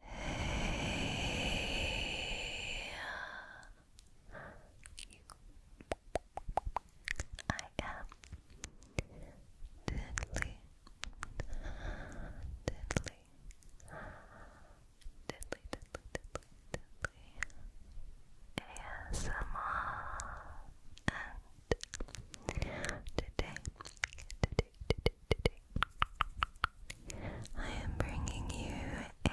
Hey. I am deadly, deadly, deadly, deadly, deadly, deadly and today, I am bringing you a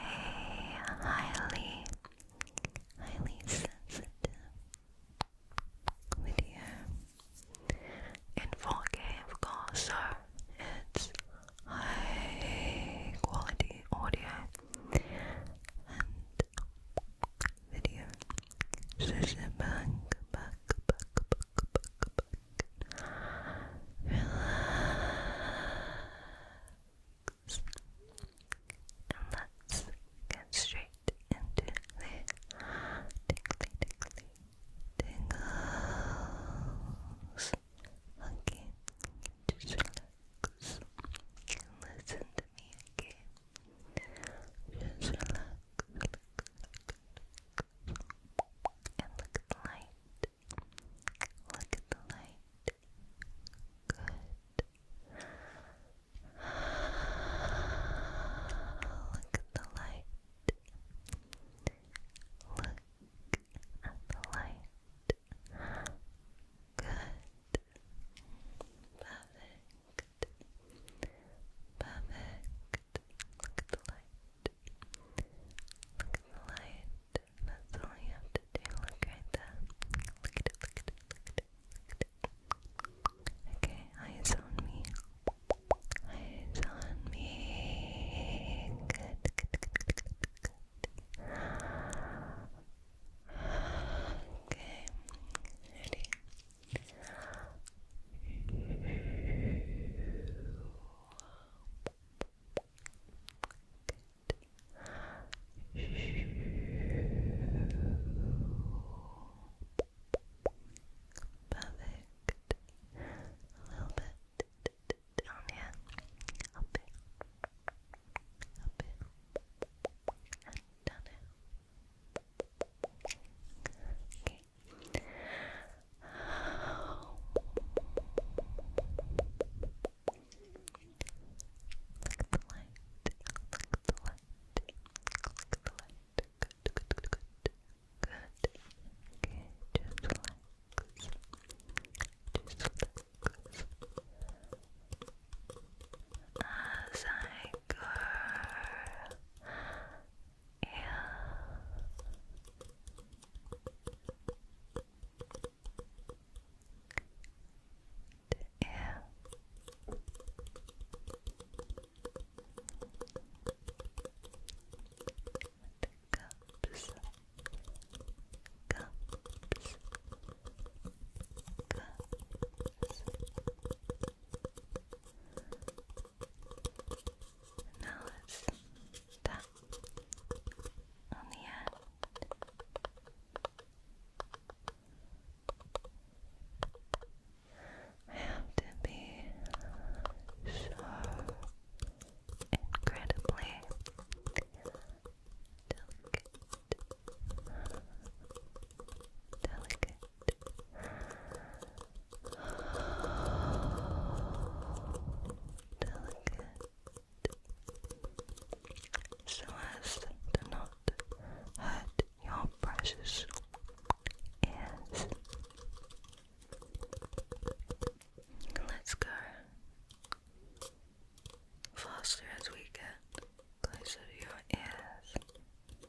highly, highly sensitive video in 4K, of course, it's high quality audio and video. So sit back, back, back, back, Relax. And let's get straight into the tickly, tickly, tingles. Okay, just relax. Listen to me, okay? Just relax. And look at the light. Look at the light. Good. Look at the light. Look at the light. Good. Perfect. Perfect. Look at the light. Look at the light. That's all you have to do. Look right there. Look at it, look at it, look at it, look at it. Okay, eyes on me. Eyes on me. good, good, good, good, good. Okay, ready? Perfect. A little bit down here. Up it. Up it. down here. Okay. Click the light. Click the light. Click the light. Good, good, good, good. Good. Okay, just relax. Just relax. As I go yeah. Yeah. Cups. Cups. Cups. And now let's on the end. I have to be so incredibly delicate, delicate, delicate so as to not hurt your precious ears. Let's go faster as we get closer to your ears.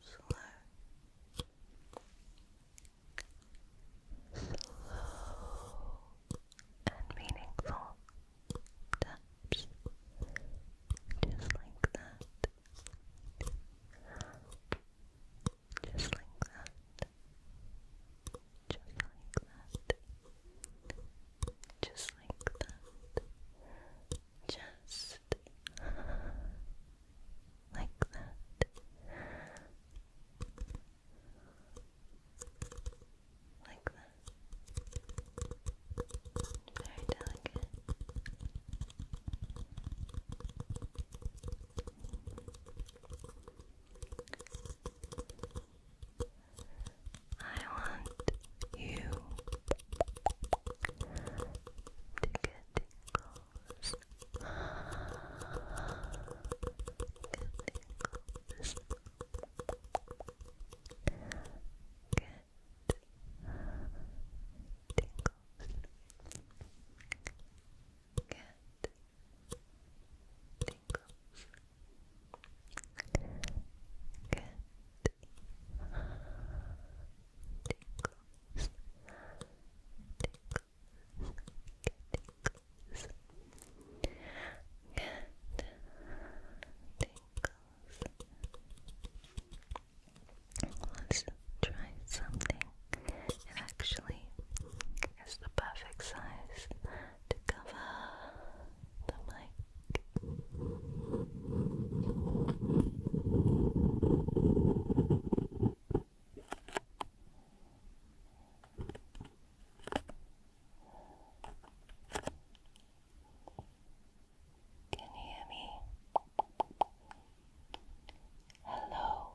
slow, slow and meaningful taps, just like that, just like that, just like that. Just like that. Just like that, like that, very delicate. I want you to tingles. Good tingles. Good tingles. Good tingles. Good tinkles, Let's try something. It actually is the perfect size to cover the mic. Can you hear me? Hello.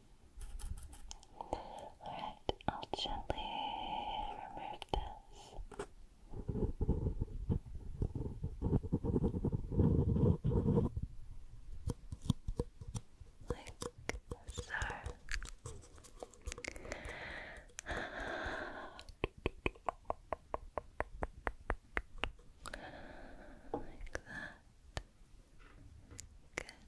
Alright, I'll gently remove this. Like so. Like that. Good.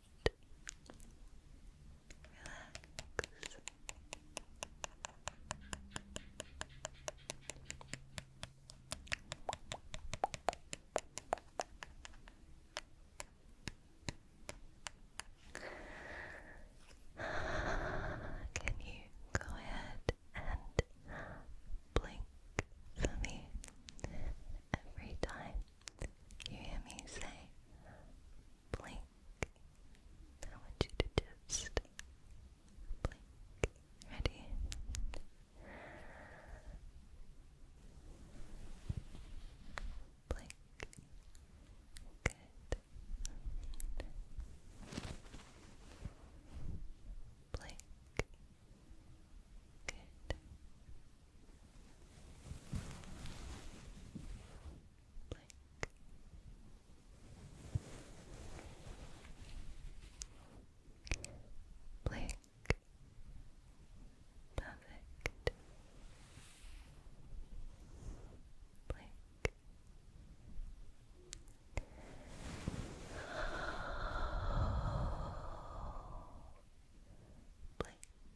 Relax. Can you go ahead and blink for me every time you hear me say blink? I want you to just blink. Ready? Blink. Good. Blink. Good blink, blink. Perfect. Blink. Blink.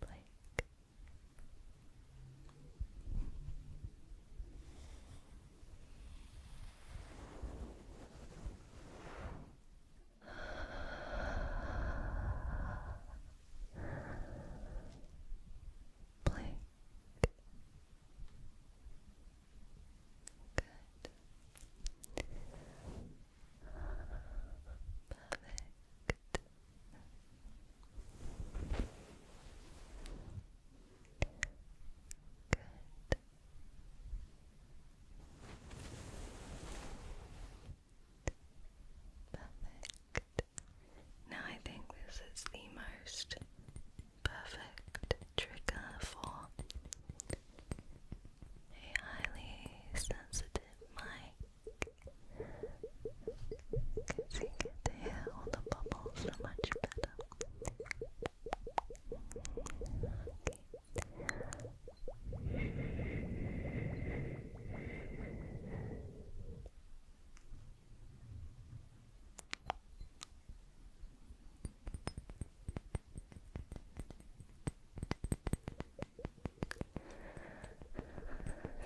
Blake. Blake. Good. Perfect. Good. Perfect. Now I think this is the most perfect trigger for a highly sensitive mic because you all the bubbles much better.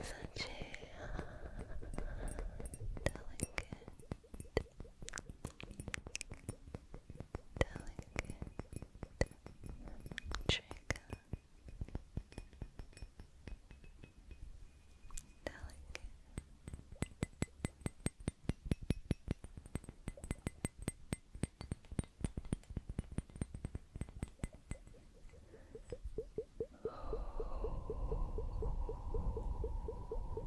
Such a delicate, delicate trigger. Delicate, Cover your eyes for a moment.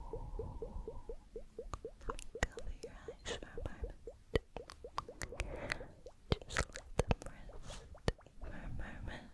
Just let them rest for a moment.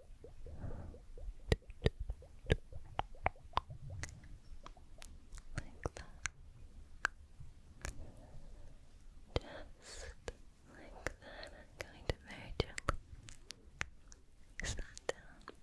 Like that. Just like that. I'm going to very gently mix that down. Good.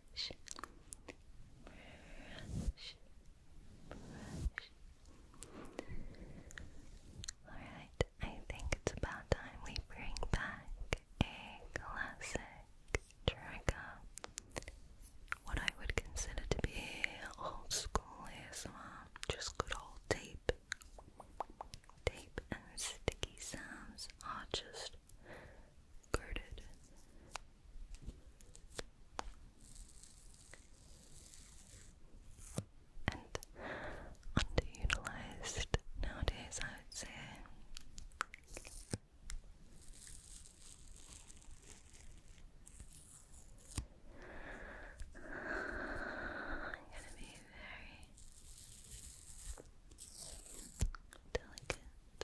Alright, I think it's about time we bring back a classic trigger. What I would consider to be old school ASMR, just good old tape. Tape and sticky sounds are just girded. And underutilized nowadays, I would say. I'm gonna be very delicate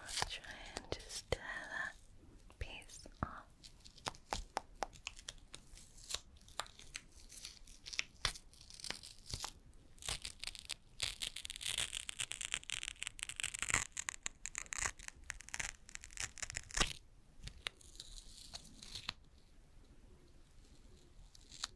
I'll try and just tear that piece off.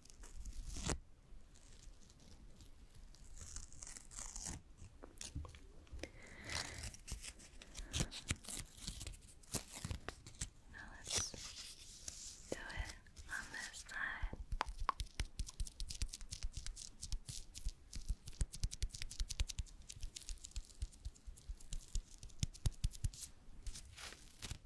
Now let's do it on this side. Good.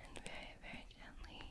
and very, very gently.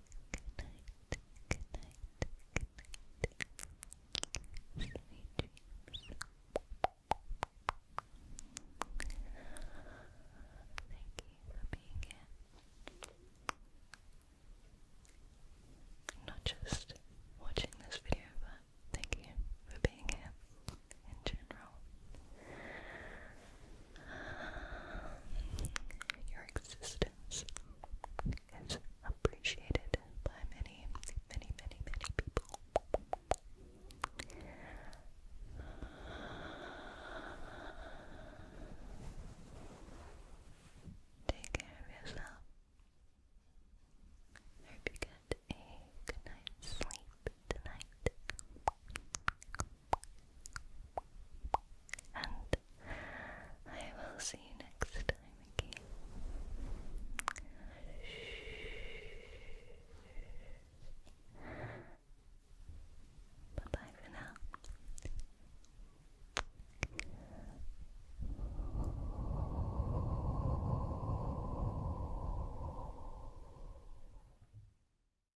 Good night. Good night. Good night. Sweet dreams. Thank you for being here. Not just watching this video, but thank you for being here in general. Your existence is appreciated by many, many, many, many people. Take care of yourself. hope you get a good night's sleep tonight. And I will see you next time again. Bye for now.